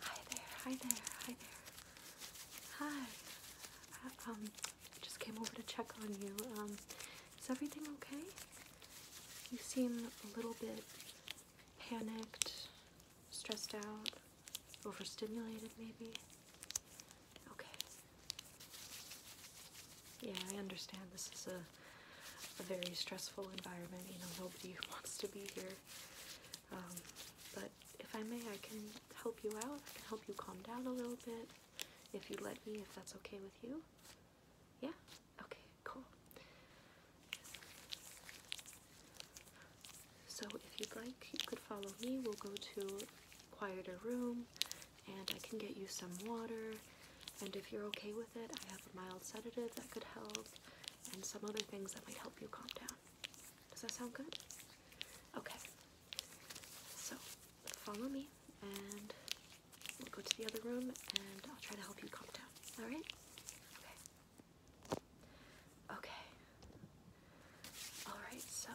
Hi there, hi there, hi there. Hi. I, uh, um, just came over to check on you. Um, is everything okay? You seem a little bit panicked, stressed out, overstimulated maybe. Okay. Yeah, I understand this is a a very stressful environment. You know, nobody wants to be here um, but if I may, I can help you out. I can help you calm down a little bit if you let me, if that's okay with you. Yeah? Okay, cool. So if you'd like, you could follow me. We'll go to quieter room and I can get you some water. And if you're okay with it, I have a mild sedative that could help and some other things that might help you calm down. Does that sound good? Okay. So, follow me and we'll go to the other room and I'll try to help you calm down. Alright? Okay. Okay. Alright, so.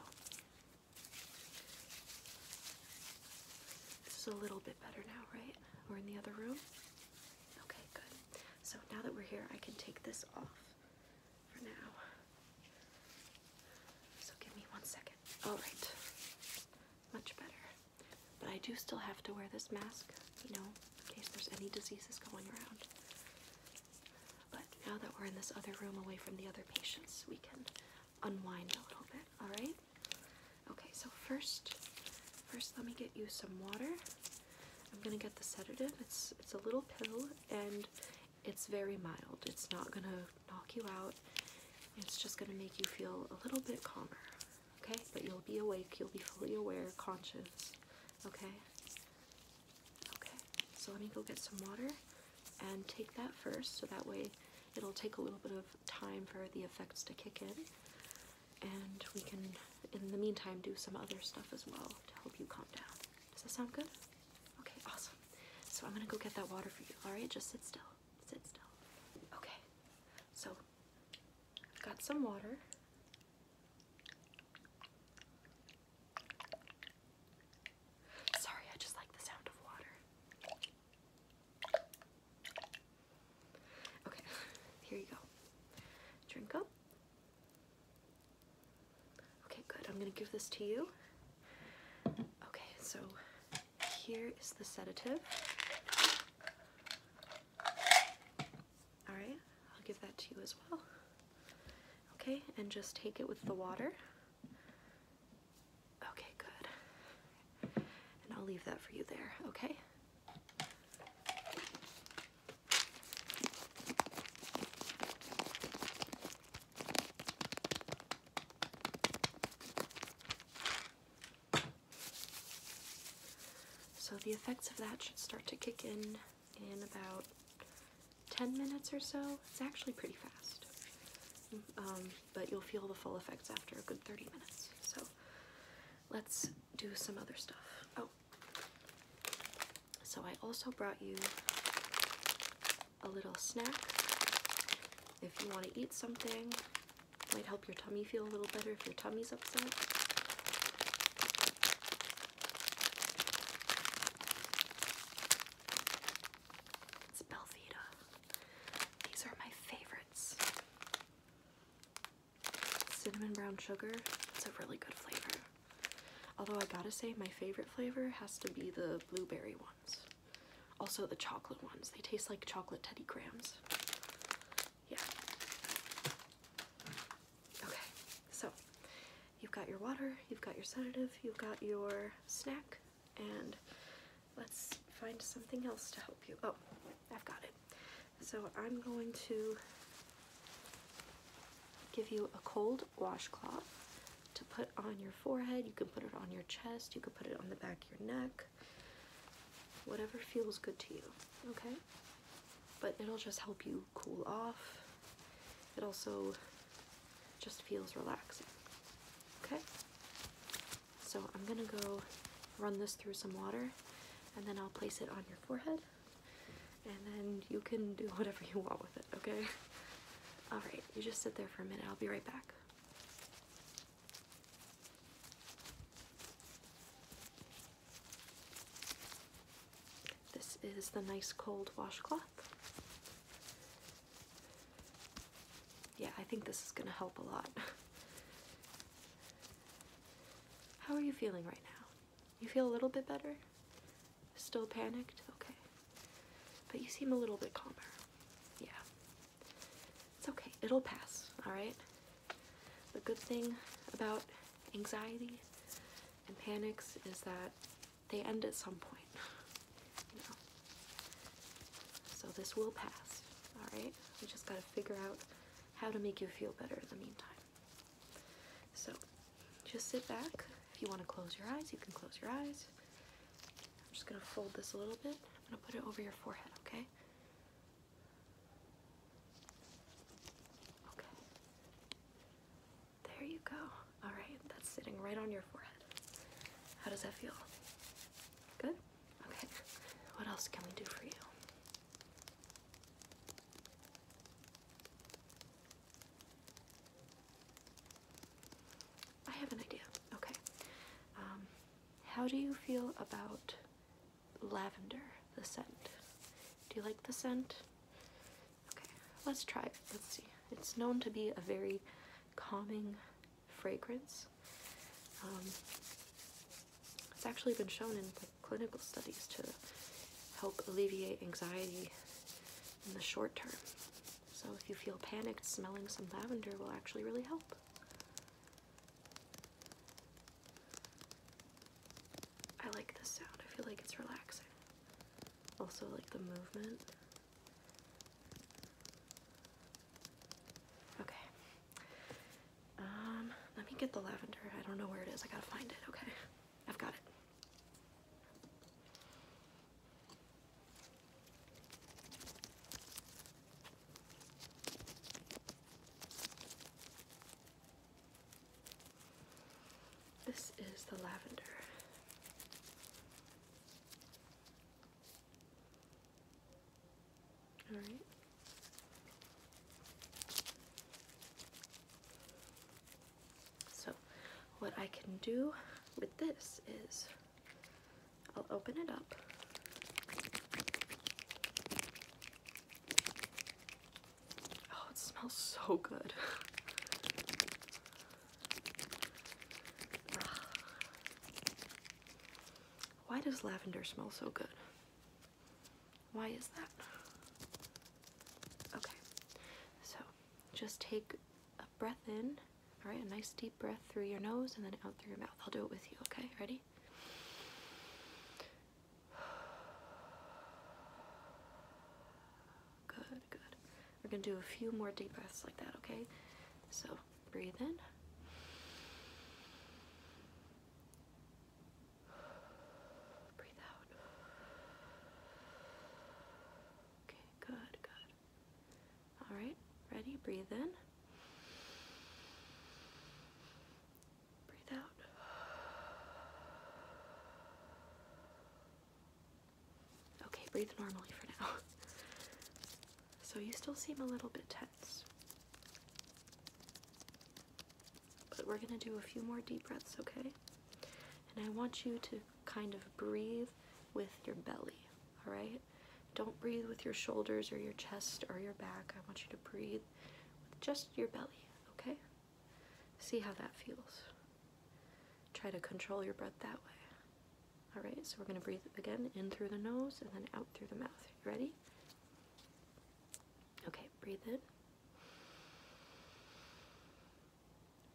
This is a little bit better now, right? We're in the other room. Okay, good. So now that we're here, I can take this off for now. So give me one second. All right, much better. But I do still have to wear this mask, you know, in case there's any diseases going around. But now that we're in this other room away from the other patients, we can unwind a little bit, all right? Okay, so first, first let me get you some water. I'm gonna get the sedative. It's it's a little pill and it's very mild. It's not gonna knock you out. It's just gonna make you feel a little bit calmer. Okay, but you'll be awake. You'll be fully aware, conscious. Okay. Okay. So let me go get some water and take that first, so that way it'll take a little bit of time for the effects to kick in and we can, in the meantime, do some other stuff as well to help you calm down. Does that sound good? Okay, awesome. So I'm gonna go get that water for you. All right, just sit still. Sit still. Okay. So, got some water. Sorry, I just like the sound of water. Okay, here you go. Drink up. Okay, good. I'm gonna give this to you. Okay, so here is the sedative. Alright, I'll give that to you as well. Okay, and just take it with the water. Okay, good. And I'll leave that for you there, okay? So the effects of that should start to kick in in about 10 minutes or so. It's actually pretty fast. Mm, um, but you'll feel the full effects after a good 30 minutes. So let's do some other stuff. Oh, so I also brought you a little snack. If you want to eat something, it might help your tummy feel a little better if your tummy's upset. It's Belvita. These are my favorites cinnamon brown sugar. It's a really good flavor. Although I gotta say my favorite flavor has to be the blueberry ones. Also the chocolate ones. They taste like chocolate Teddy Crams. Yeah. Okay, so you've got your water, you've got your sedative, you've got your snack, and let's find something else to help you. Oh, I've got it. So I'm going to give you a cold washcloth to put on your forehead. You can put it on your chest. You can put it on the back of your neck. Whatever feels good to you, okay? But it'll just help you cool off. It also just feels relaxing, okay? So I'm gonna go run this through some water and then I'll place it on your forehead and then you can do whatever you want with it, okay? Alright, you just sit there for a minute, I'll be right back. This is the nice cold washcloth. Yeah, I think this is going to help a lot. How are you feeling right now? You feel a little bit better? Still panicked? Okay. But you seem a little bit calmer. Yeah. It's okay. It'll pass, alright? The good thing about anxiety and panics is that they end at some point. So this will pass, alright? We just gotta figure out how to make you feel better in the meantime. So just sit back. If you want to close your eyes, you can close your eyes. I'm just gonna fold this a little bit. I'm gonna put it over your forehead, okay? Okay. There you go. Alright, that's sitting right on your forehead. How does that feel? Good? Okay. What else can we do for you? I have an idea. Okay. Um, how do you feel about lavender, the scent? Do you like the scent? Okay, let's try Let's see. It's known to be a very calming fragrance. Um, it's actually been shown in clinical studies to help alleviate anxiety in the short term. So if you feel panicked, smelling some lavender will actually really help. I like this sound. I feel like it's relaxing. Also like the movement. Okay. Um, let me get the lavender. I don't know where it is. I gotta find it. Okay. I've got it. This is the lavender. All right. So, what I can do with this is I'll open it up. Oh, it smells so good. Why does lavender smell so good? Why is that? Okay, so just take a breath in, all right, a nice deep breath through your nose and then out through your mouth. I'll do it with you, okay? Ready? Good good. We're gonna do a few more deep breaths like that, okay? So breathe in. Breathe out. Okay, good, good. All right, ready? Breathe in. Breathe out. Okay, breathe normally for now. So you still seem a little bit tense. But we're going to do a few more deep breaths, okay? And I want you to kind of breathe with your belly, alright? Don't breathe with your shoulders or your chest or your back. I want you to breathe with just your belly, okay? See how that feels. Try to control your breath that way. Alright, so we're going to breathe again in through the nose and then out through the mouth. You ready? Okay, breathe in.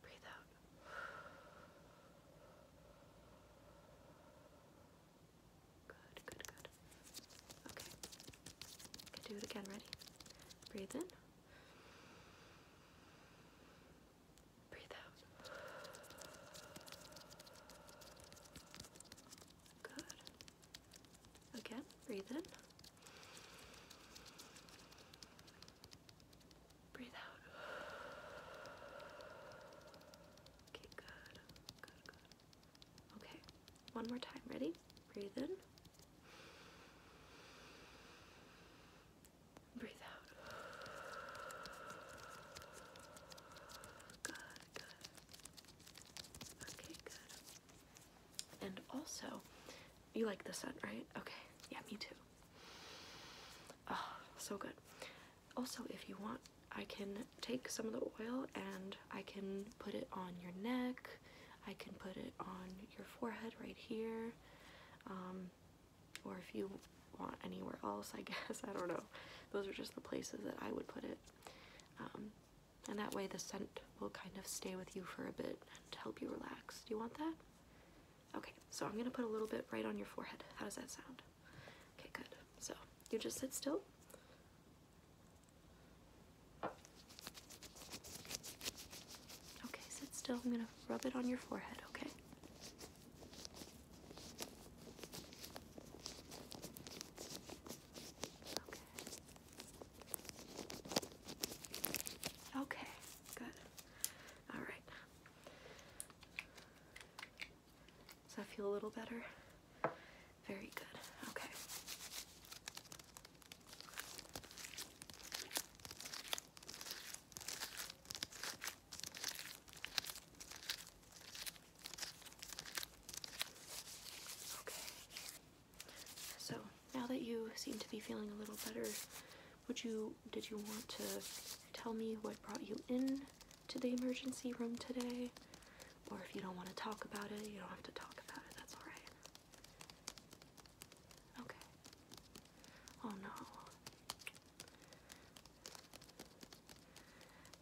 Breathe out. Good, good, good. Okay. Okay, do it again. Ready? Breathe in. Breathe out. Good. Again, breathe in. Breathe out. Okay, good. Good, good. Okay, one more time. Ready? Breathe in. Breathe out. Good, good. Okay, good. And also, you like the sun, right? Okay, yeah, me too. Oh, so good. Also, if you want, I can take some of the oil and I can put it on your neck. I can put it on your forehead right here. Um, or if you want anywhere else, I guess, I don't know. Those are just the places that I would put it. Um, and that way the scent will kind of stay with you for a bit and help you relax. Do you want that? Okay, so I'm gonna put a little bit right on your forehead. How does that sound? Okay, good. So you just sit still. Okay, sit still. I'm going to rub it on your forehead, okay? Okay. Okay, good. All right. Does that feel a little better? Very good. Okay. Okay. So now that you seem to be feeling a little better, would you did you want to tell me what brought you in to the emergency room today? Or if you don't want to talk about it, you don't have to talk about it. That's all right. Okay. Oh no.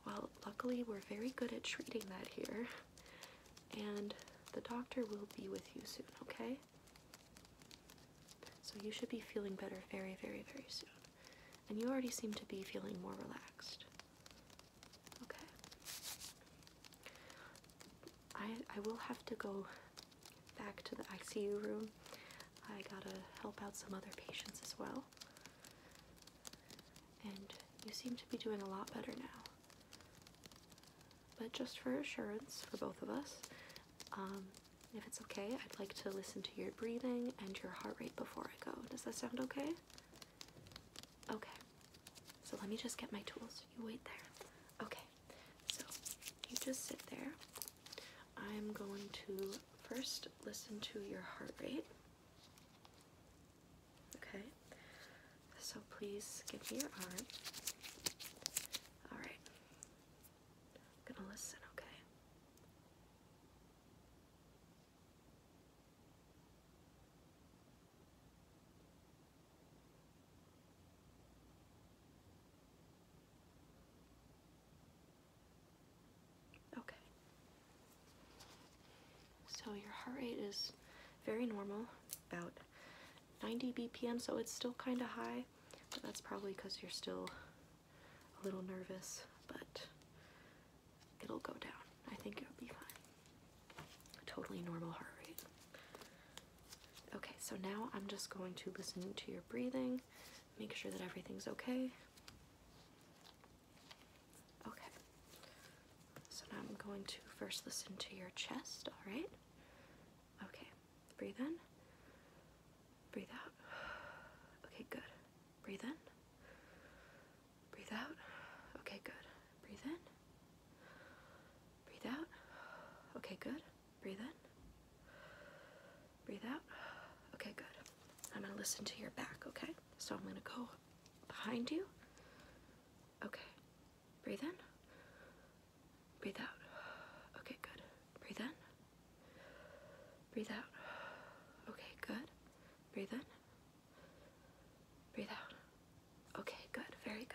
Well, luckily, we're very good at treating that here, and the doctor will be with you soon, okay? So, you should be feeling better very, very, very soon. And you already seem to be feeling more relaxed. Okay. I I will have to go back to the ICU room. I gotta help out some other patients as well. And you seem to be doing a lot better now. But just for assurance for both of us, um, if it's okay, I'd like to listen to your breathing and your heart rate before I go. Does that sound okay? Okay. So let me just get my tools. You wait there. Okay, so you just sit there. I'm going to first listen to your heart rate. Okay, so please give me your arm. alright I'm gonna listen, okay? Okay. So your heart rate is very normal, about 90 BPM, so it's still kind of high, but that's probably because you're still a little nervous, but it'll go down. I think it'll be fine. Totally normal heart rate. Okay, so now I'm just going to listen to your breathing, make sure that everything's okay. Okay, so now I'm going to first listen to your chest, all right? Okay, breathe in, breathe out. Okay, good. Breathe in, breathe out. Okay, good. Breathe in, Breathe out. Okay, good. Breathe in. Breathe out. Okay, good. I'm going to listen to your back, okay? So I'm going to go behind you. Okay. Breathe in. Breathe out. Okay, good. Breathe in. Breathe out. Okay, good. Breathe in. Breathe out. Okay, good. Very good.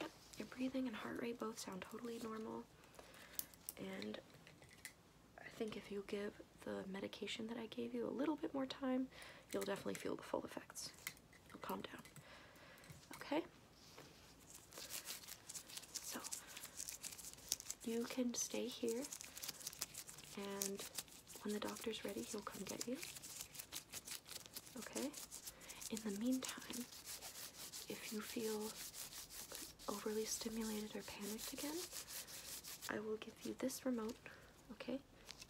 Yep, your breathing and heart rate both sound totally normal. And I think if you give the medication that I gave you a little bit more time, you'll definitely feel the full effects. You'll calm down. Okay? So, you can stay here and when the doctor's ready, he'll come get you. Okay? In the meantime, if you feel overly stimulated or panicked again, I will give you this remote. Okay?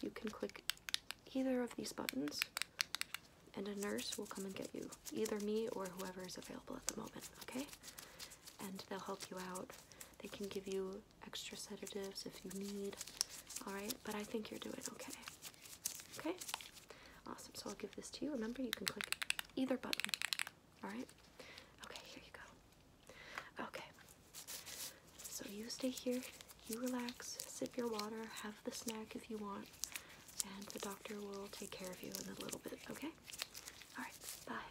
You can click either of these buttons, and a nurse will come and get you. Either me or whoever is available at the moment. Okay? And they'll help you out. They can give you extra sedatives if you need. All right, but I think you're doing okay. Okay, awesome. So I'll give this to you. Remember, you can click either button. All right. Okay, here you go. Okay. So you stay here. You relax. Sip your water. Have the snack if you want. And the doctor will take care of you in a little bit. Okay. All right. Bye.